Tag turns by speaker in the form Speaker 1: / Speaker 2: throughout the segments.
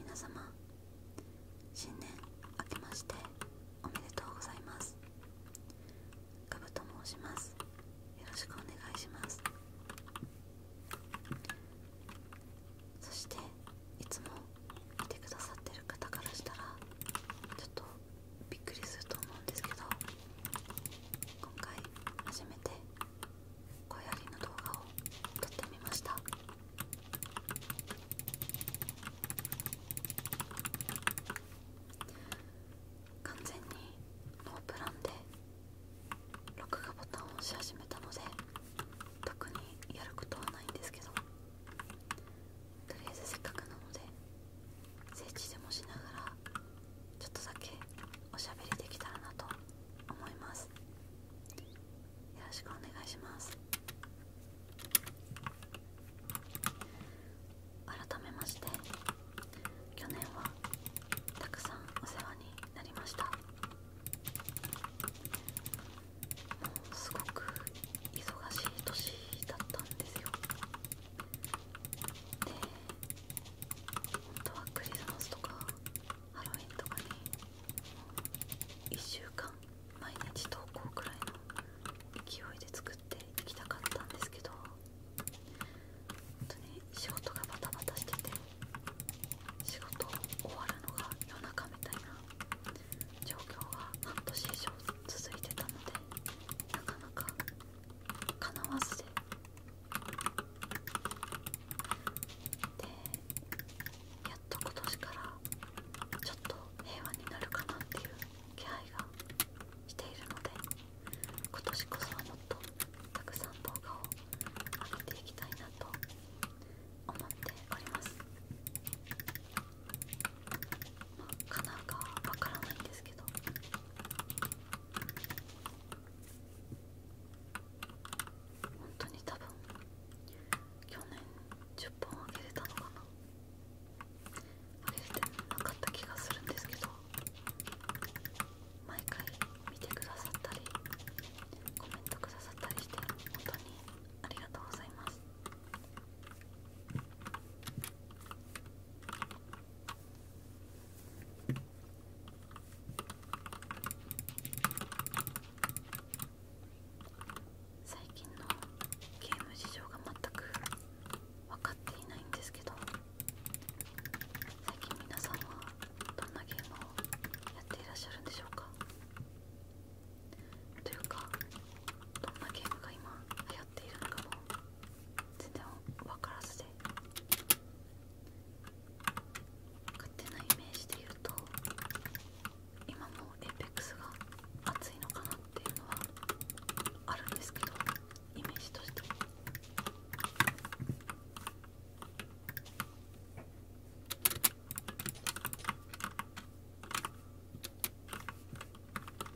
Speaker 1: 皆様新年明けましておめでとうございますガブと申しますよろしくお願いしますそしていつも見てくださってる方からしたらちょっとびっくりすると思うんですけど今回初めて小やの動画を撮ってみました完全にノープランで録画ボタンを押し始めたので特にやることはないんですけどとりあえずせっかくなので整地でもしながらちょっとだけおしゃべりできたらなと思いますよろしくお願いします改めまして去年はたくさんお世話になりましたもうすごく忙しい年だったんですよで、本当はクリスマスとかハロウィンとかに1週間毎日投稿くらいの勢いで作っていきたかったんですけど本当に仕事がバタバタしてて仕事終わるのが夜中みたいな状況が半年以上続いてたのでなかなかかなわずででやっと今年からちょっと平和になるかなっていう気配がしているので今年こそはもっとたくさん動画を上げていきたいなと思っておりますまあかなうかわからないんですけど本当に多分去年10本あげれたのかなあげれてなかった気がするんですけど毎回見てくださったりコメントくださったりして本当にありがとうございます最近のゲーム事情が全く分かっていないんですけど最近皆さんはどんなゲームをやっていらっしゃるんでしょうかというかどんなゲームが今流行やっているのかも全然分からずで勝手なイメージで言うと今もエイペックスが熱いのかなっていうのはあるんですけどイメージとしてエー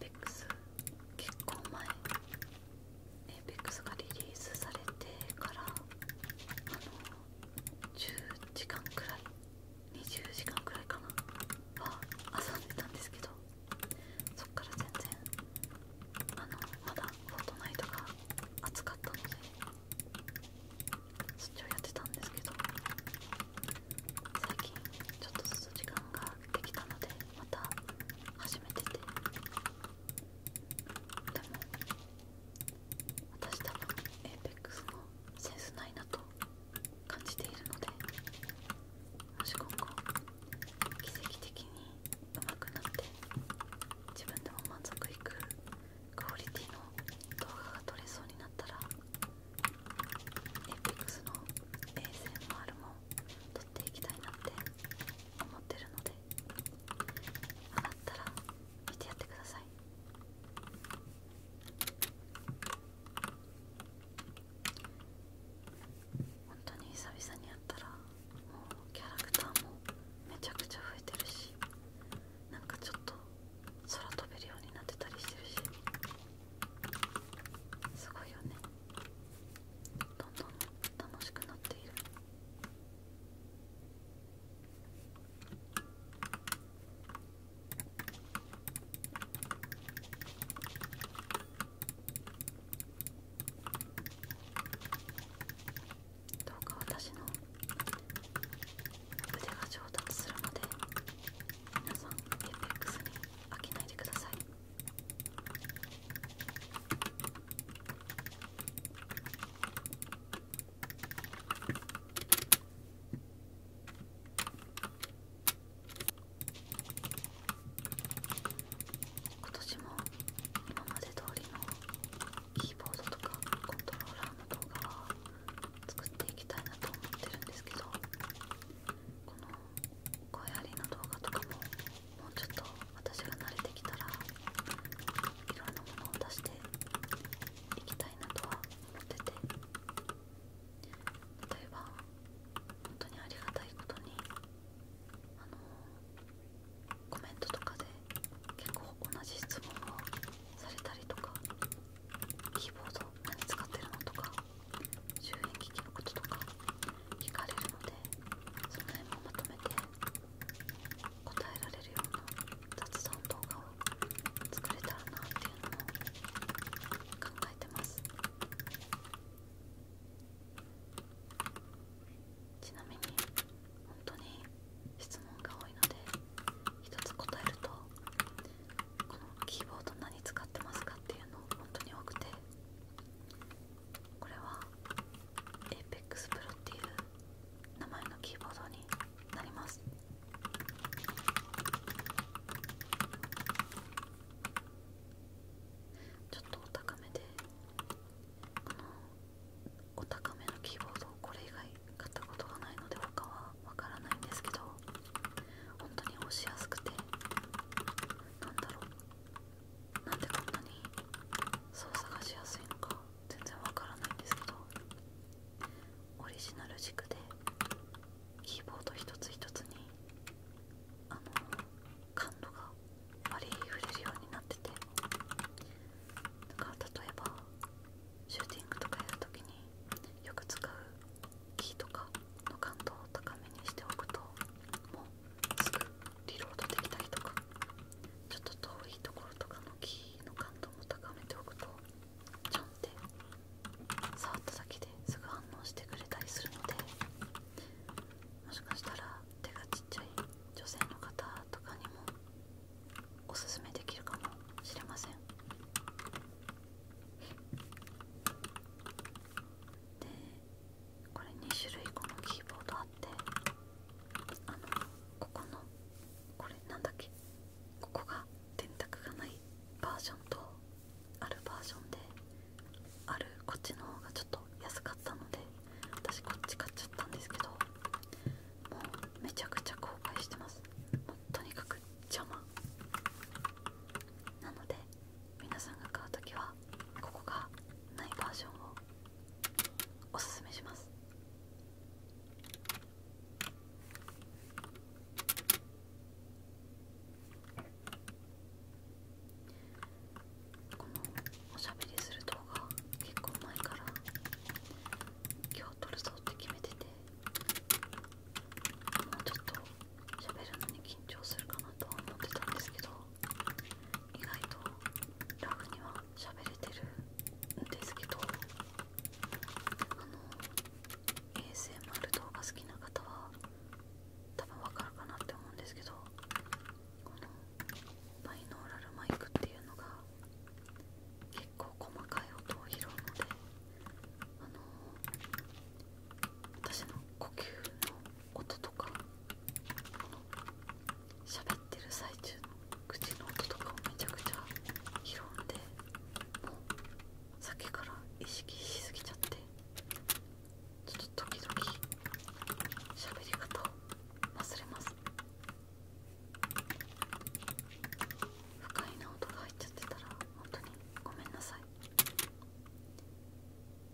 Speaker 1: ペックス結構前 apex がリリースされてから10時間くらい20時間くらいかなは遊んでたんですけどそっから全然あのまだフォートナイトが熱かったのでそっちをやってたんですけど最近ちょっとずつ時間ができたのでまた始めててでも私多分 APEX のセンスないなと感じているのでもし今後奇跡的に上手くなって自分でも満足いくクオリティの動画が撮れそうになったらエイペックスの ASMR もん、撮っていきたいなって思ってるので上がったら見てやってください本当に久々にやったらもうキャラクターもめちゃくちゃ増えてるしなんかちょっと空飛べるようになってたりしてるしすごいよねどんどん楽しくなっているどうか私の腕が上達するまで皆さん FX に飽きないでください今年も今まで通りのキーボードとかコントローラーの動画は作っていきたいなと思ってるんですけどこの声ありの動画とかももうちょっと私が慣れてきたらいろんなものを出していきたいなとは思ってて例えば本当にありがたいことにあのコメントとかで結構同じ質問をされたりとかキーボード何使ってるのとか周辺機器のこととか聞かれるのでその辺もまとめて答えられるような雑談動画を作れたらなっていうのも考えてますちなみに本当に質問が多いので一つ答えるとこのキーボード何使ってますかっていうの本当に多くてこれは APEX Pro っていう名前のキーボードになりますちょっとお高めでこのお高めのキーボードをこれ以外は買ったことがないので他はわからないんですけど本当に押しやすくてなんだろうなんでこんなに操作がしやすいのか全然わからないんですけどオリジナル軸でキーボード一つ一つにあの感度が割り振れるようになっててだから例えばシューティングとかやるときによく使う木とかの感度を高めにしておくともうすぐリロードできたりとかちょっと遠いところとかの木の感度も高めておくとちょんって触っただけですぐ反応してくれたりするのでもしかしたら手がちっちゃい女性の方とかにもおすめできるかもしれませんでこれ2種類このキーボードあってあのここのこれなんだっけここが電卓がないバージョンとあるバージョンであるこっちの方がちょっと安かったので私こっち買っちゃったんですけどもうめちゃくちゃ後悔してますとにかく邪魔なので皆さんが買う時はここがないバージョンをおすすめしますこのおしゃべりする動画結構前から今日撮るぞって決めててもうちょっと喋るのに緊張するかなと思ってたんですけど意外とラフには喋れてるんですけどあの ASMR 動画好きな方は多分わかるかなって思うんですけどこのバイノーラルマイクっていうのが結構細かい音を拾うので、あの私の呼吸の音とか喋ってる最中の口の音とかをめちゃくちゃ拾うんでもう先から意識しすぎちゃってちょっと時々喋り方を忘れます。不快な音が入っちゃってたら本当にごめんなさい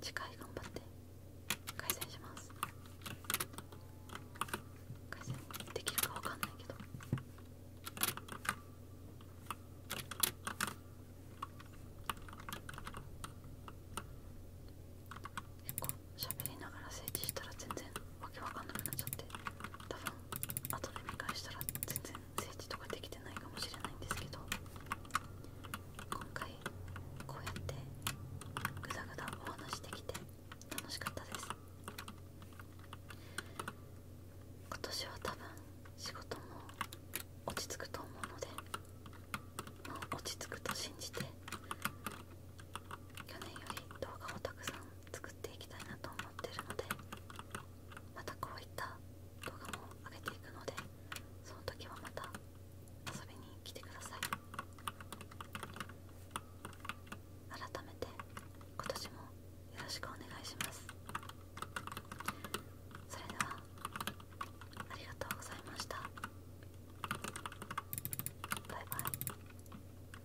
Speaker 1: 次回頑張って改善します改善できるかわかんないけど結構喋りながら整地したら全然わけわかんなくなっちゃって多分後で見返したら全然整地とかできてないかもしれないんですけど今回こうやってぐだぐだお話できて楽しかったです今年は多分仕事も落ち着くと思うので、まあ、落ち着くと信じて去年より動画もたくさん作っていきたいなと思ってるのでまたこういった動画も上げていくのでその時はまた遊びに来てください改めて今年もよろしくお願いしますそれではありがとうございましたバイバイ